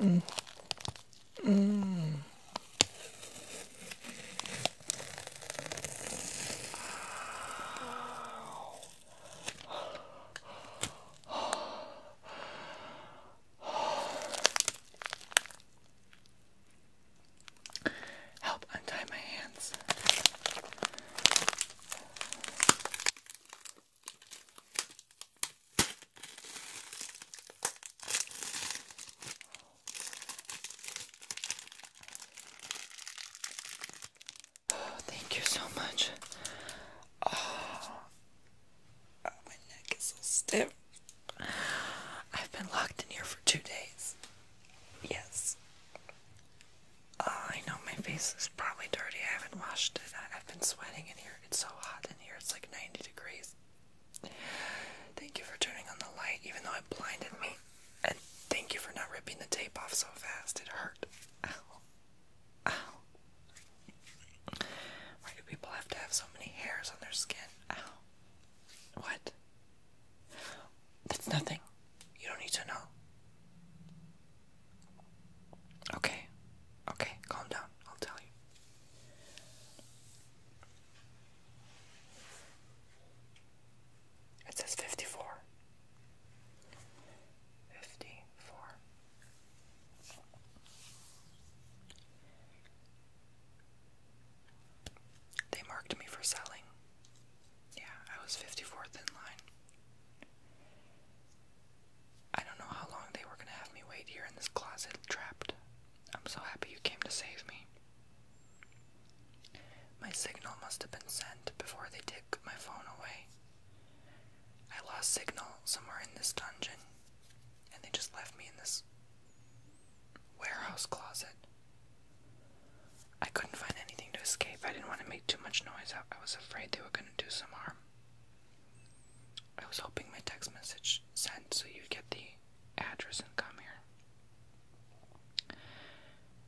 Hmm. Mm. Help untie my hands thank you so much. Oh, my neck is so stiff. I've been locked in here for two days. Yes. I know my face is probably dirty. I haven't washed it. I, have been sweating in here. It's so hot in here. It's like 90 degrees. Thank you for turning on the light, even though it blinded me. And thank you for not ripping the tape off so fast. It hurt. Ow. Ow. Why do people have to have so many hairs on their skin? Ow. What? That's nothing. You don't need to know. Okay, okay, calm down. I'll tell you. It says 54. 54. They marked me for selling. Yeah, I was 54th in line. I don't know how long they were gonna have me wait here in this closet trapped. I'm so happy you came to save me. My signal must have been sent before they took my phone away. I lost signal somewhere in this dungeon, and they just left me in this warehouse closet. I couldn't find anything to escape. I didn't want to make too much noise I was afraid they were gonna do some harm. I was hoping my text message sent so you'd get the address and come here.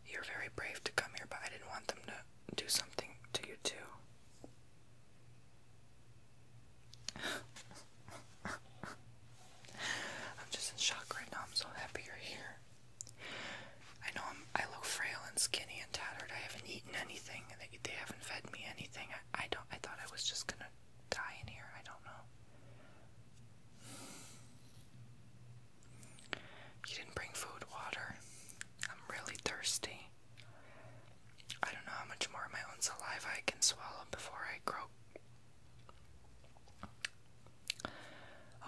You're very brave to come here, but I didn't want them to do something to you, too. I'm just in shock right now. I'm so happy you're here. I know I'm, I look frail and skinny and tattered. I haven't eaten anything. They, they haven't fed me anything. I, I don't. I thought I was just gonna die in here. I don't know. You didn't bring food, water. I'm really thirsty. I don't know how much more of my own saliva I can swallow before I croak.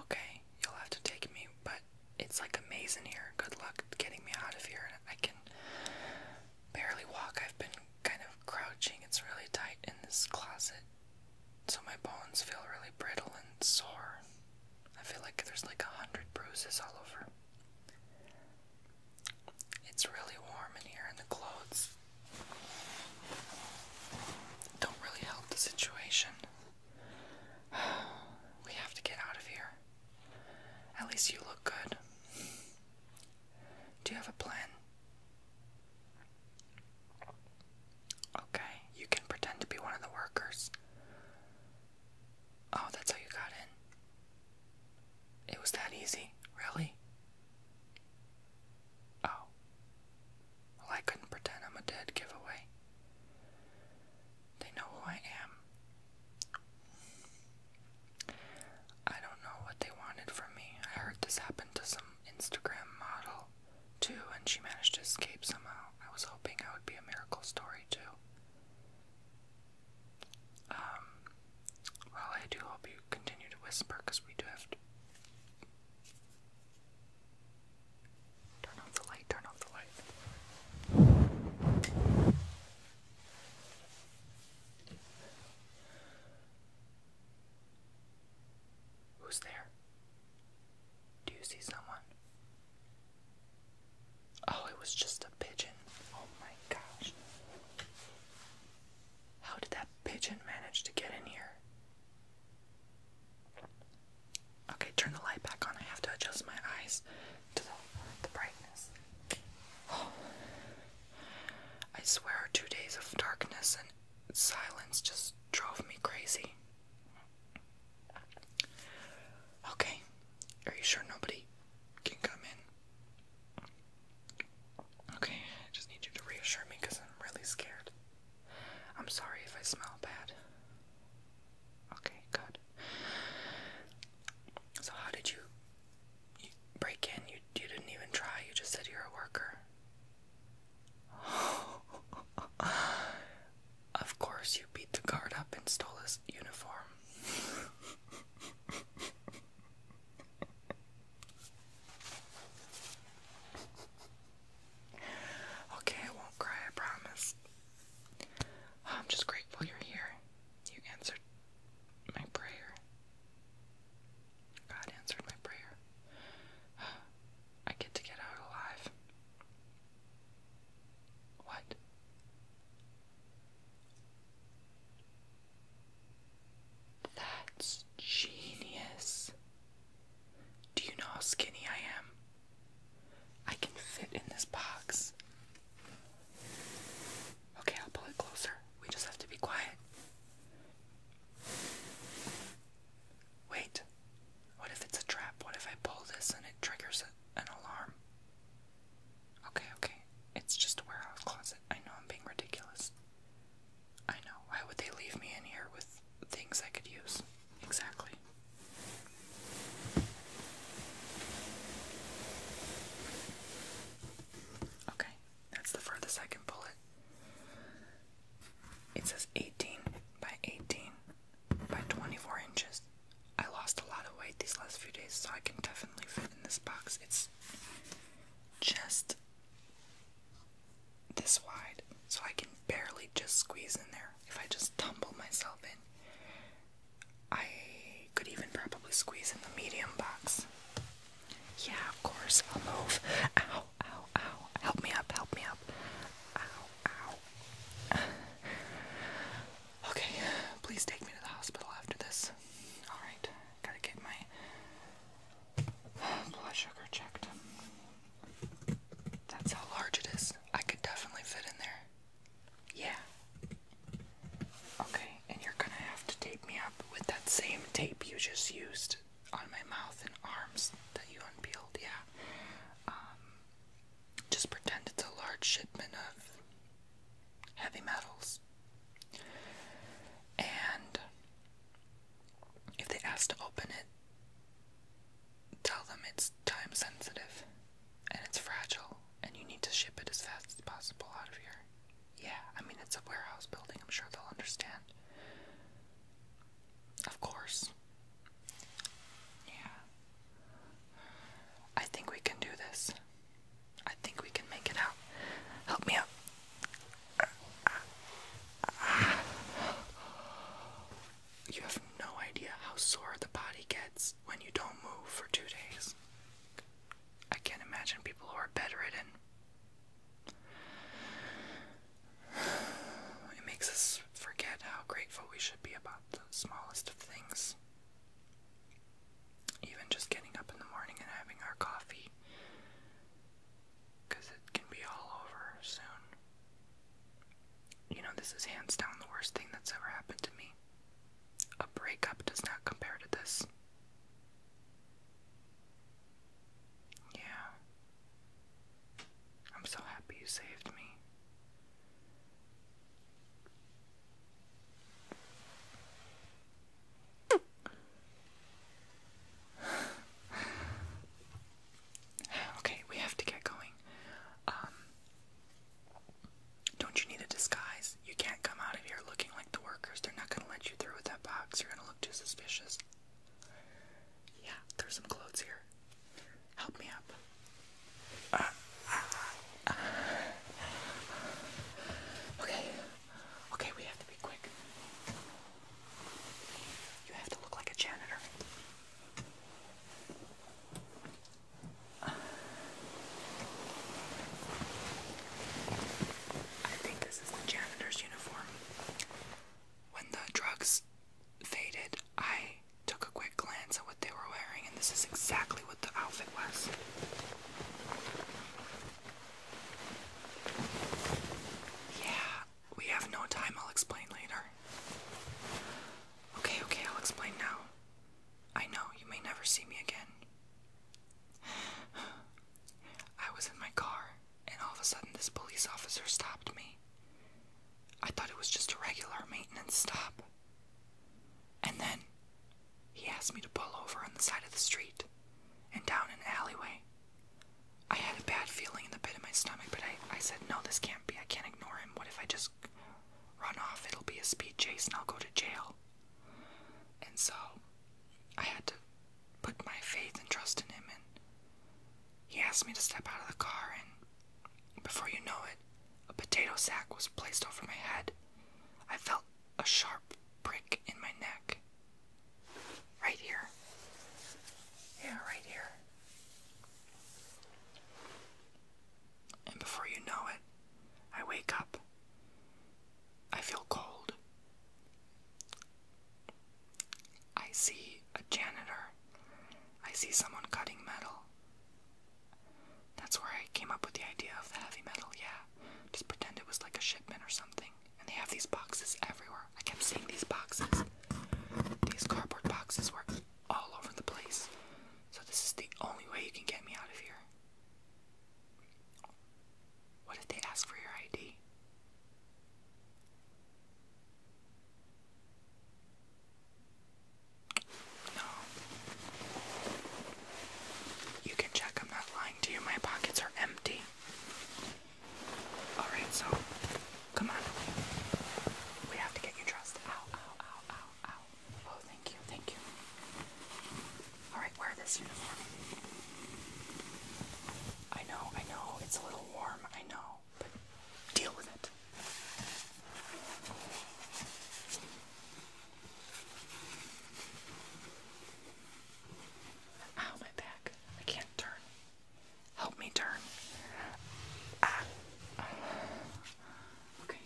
Okay, you'll have to take me, but it's like amazing here. Good luck getting me out of here. I can barely walk. I've been kind of crouching. It's really tight in this closet. So my bones feel really brittle and sore. I feel like there's like a hundred bruises all over. It's really warm in here, and the clothes don't really help the situation. we have to get out of here. At least you look good. Do you have a plan? Okay, you can pretend to be one of the workers. Oh, that's how you got in. It was that easy, really? Oh. Well, I couldn't pretend I'm a dead giveaway. They know who I am. I don't know what they wanted from me. I heard this happened to some Instagram model, too, and she managed to escape somehow. I was hoping I would be a miracle story, too. Um, well, I do hope you continue to whisper because we do have to. Turn off the light, turn off the light. Who's there? Do you see someone? Oh, it was just a pigeon. Oh my gosh. How did that pigeon manage to get in here? Okay, turn the light back on. I have to adjust my eyes to the, brightness. I swear, two days of darkness and silence just drove me crazy. Okay, are you sure nobody can come in? Okay, I just need you to reassure me because I'm really scared. I'm sorry if I smell bad. Okay, good. So how did you break in? You you didn't even try. You just said you're a worker. of course, you beat the guard up and stole his uniform. okay, I won't cry, I promise. Oh, I'm just grateful you're here. You answered my prayer. God answered my prayer. I get to get out alive. What? That's genius. Do you know how skinny I am? I can fit in this box. Okay, I'll pull it closer. We just have to be quiet. Wait. What if it's a trap? What if I pull this and it triggers an alarm? Okay, okay. It's just a warehouse closet. I know I'm being ridiculous. I know. Why would they leave me in here with things I could use? Exactly. Okay, that's the for the second bullet. It says 18 by 18 by 24 inches. I lost a lot of weight these last few days, so I can definitely fit in this box. It's just this wide, so I can barely just squeeze in there. If I just tumble myself in, I could even probably squeeze in the medium box. Yeah, of course, I'll move. Ow, ow, ow. Help me up, help me up. Ow, ow. okay, please take me to the hospital after this. Alright, gotta get my blood sugar checked. That's how large it is. I could definitely fit in there. Yeah. Okay, and you're gonna have to tape me up with that same tape you just used on my mouth and arms that you unpeeled, yeah. Um, just pretend it's a large shipment of heavy metals. And if they ask to open it, tell them it's time sensitive and it's fragile and you need to ship it as fast as possible out of here. Yeah, I mean, it's a warehouse building, I'm sure they'll understand. Of course. Yeah. I think we can do this. I think we can make it out. Help me out. You have no idea how sore the body gets when you don't move for two days. I can't imagine people who are bedridden. It makes us forget how grateful we should be about the smallest of things. Even just getting up in the morning and having our coffee. Because it can be all over soon. You know, this is hands down the worst thing that's ever happened to me. A breakup does not compare to this. Yeah. I'm so happy you saved me. okay, we have to get going. Um, don't you need a disguise? You can't come out of here looking like the workers. They're not going to let you through with that box. You're going to look too suspicious. Yeah, there's some clothes here. Help me up. Okay. Okay, we have to be quick. You have to look like a janitor. I think this is the janitor's uniform. When the drugs faded, I took a quick glance at what they were wearing, and this is exactly what the outfit was. Yeah, we have no time. I'll explain later. Okay, okay, I'll explain now. I know you may never see me again. I was in my car, and all of a sudden, this police officer stopped me. I thought it was just a regular maintenance stop. And then he asked me to pull over on the side of the street and down an alleyway. I had a bad feeling in the pit of my stomach, but I, I said, No, this can't be. I can't ignore him. What if I just run off, it'll be a speed chase and I'll go to jail. And so I had to put my faith and trust in him, and he asked me to step out of the car, and before you know it, a potato sack was placed over my head. I felt a sharp prick in my neck. Right here. Yeah, right here. And before you know it, I wake up. I feel cold. I see a janitor. I see someone cutting metal. That's where I came up with the idea of the heavy metal, yeah. Just pretend it was like a shipment or something. And they have these boxes everywhere. I kept seeing these boxes. These cardboard boxes were all over the place. So this is the only way you can get me out of here. What if they ask for your ID? No. You can check I'm not lying to you. My pockets are empty. Alright, so come on. We have to get you dressed. Ow, ow, ow, ow, ow. Oh, thank you, thank you. Alright, wear this uniform. I know, I know, it's a little warm, I know, but deal with it. Ow, my back. I can't turn. Help me turn. Ah. Okay.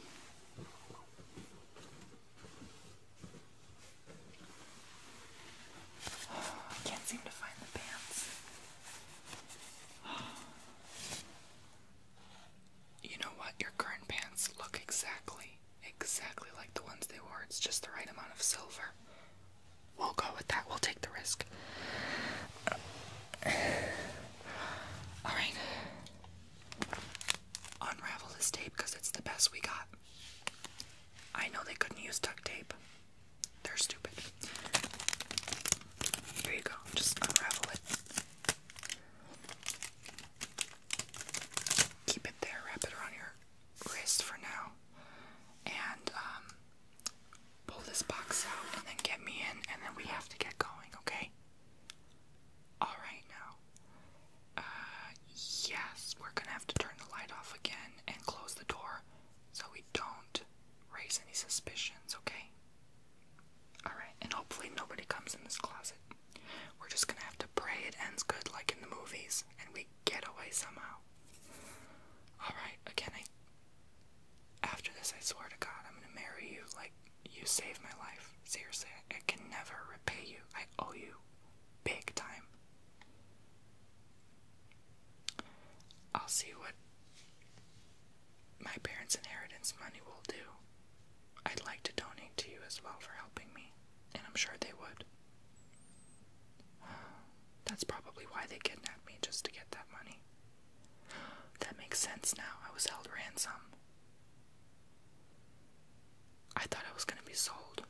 I can't seem to find the pants. You know what? Your current pants look exactly, exactly like the ones they wore. It's just the right amount of silver. We'll go with that. We'll take the risk. Alright. Unravel this tape because it's the best we got. I know they couldn't use duct tape. They're stupid. Here you go. Just unravel it. Keep it there. Wrap it around your wrist for now. And um, pull this box out and then get me in and then we have to get going, okay? All right now. Uh, yes, we're gonna have to turn the light off again and close the door so we don't raise any suspicions, okay? Alright, and hopefully nobody comes in this closet. We're just gonna have to pray it ends good like in the movies and we get away somehow. Alright, again, After this, I swear to God, I'm gonna marry you like you saved my life. Seriously, I can never repay you. I owe you big time. I'll see what my parents' inheritance money will do. I'd like to donate to you as well for helping me, and I'm sure they would. That's probably why they kidnapped me, just to get that money. That makes sense now. I was held ransom. I thought I was gonna be sold.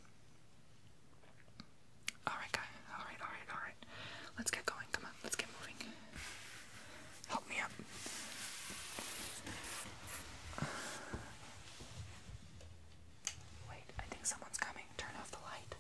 Alright, guy. Alright, alright, alright. Let's get going. Come on, let's get moving. Help me up. Wait, I think someone's coming. Turn off the light.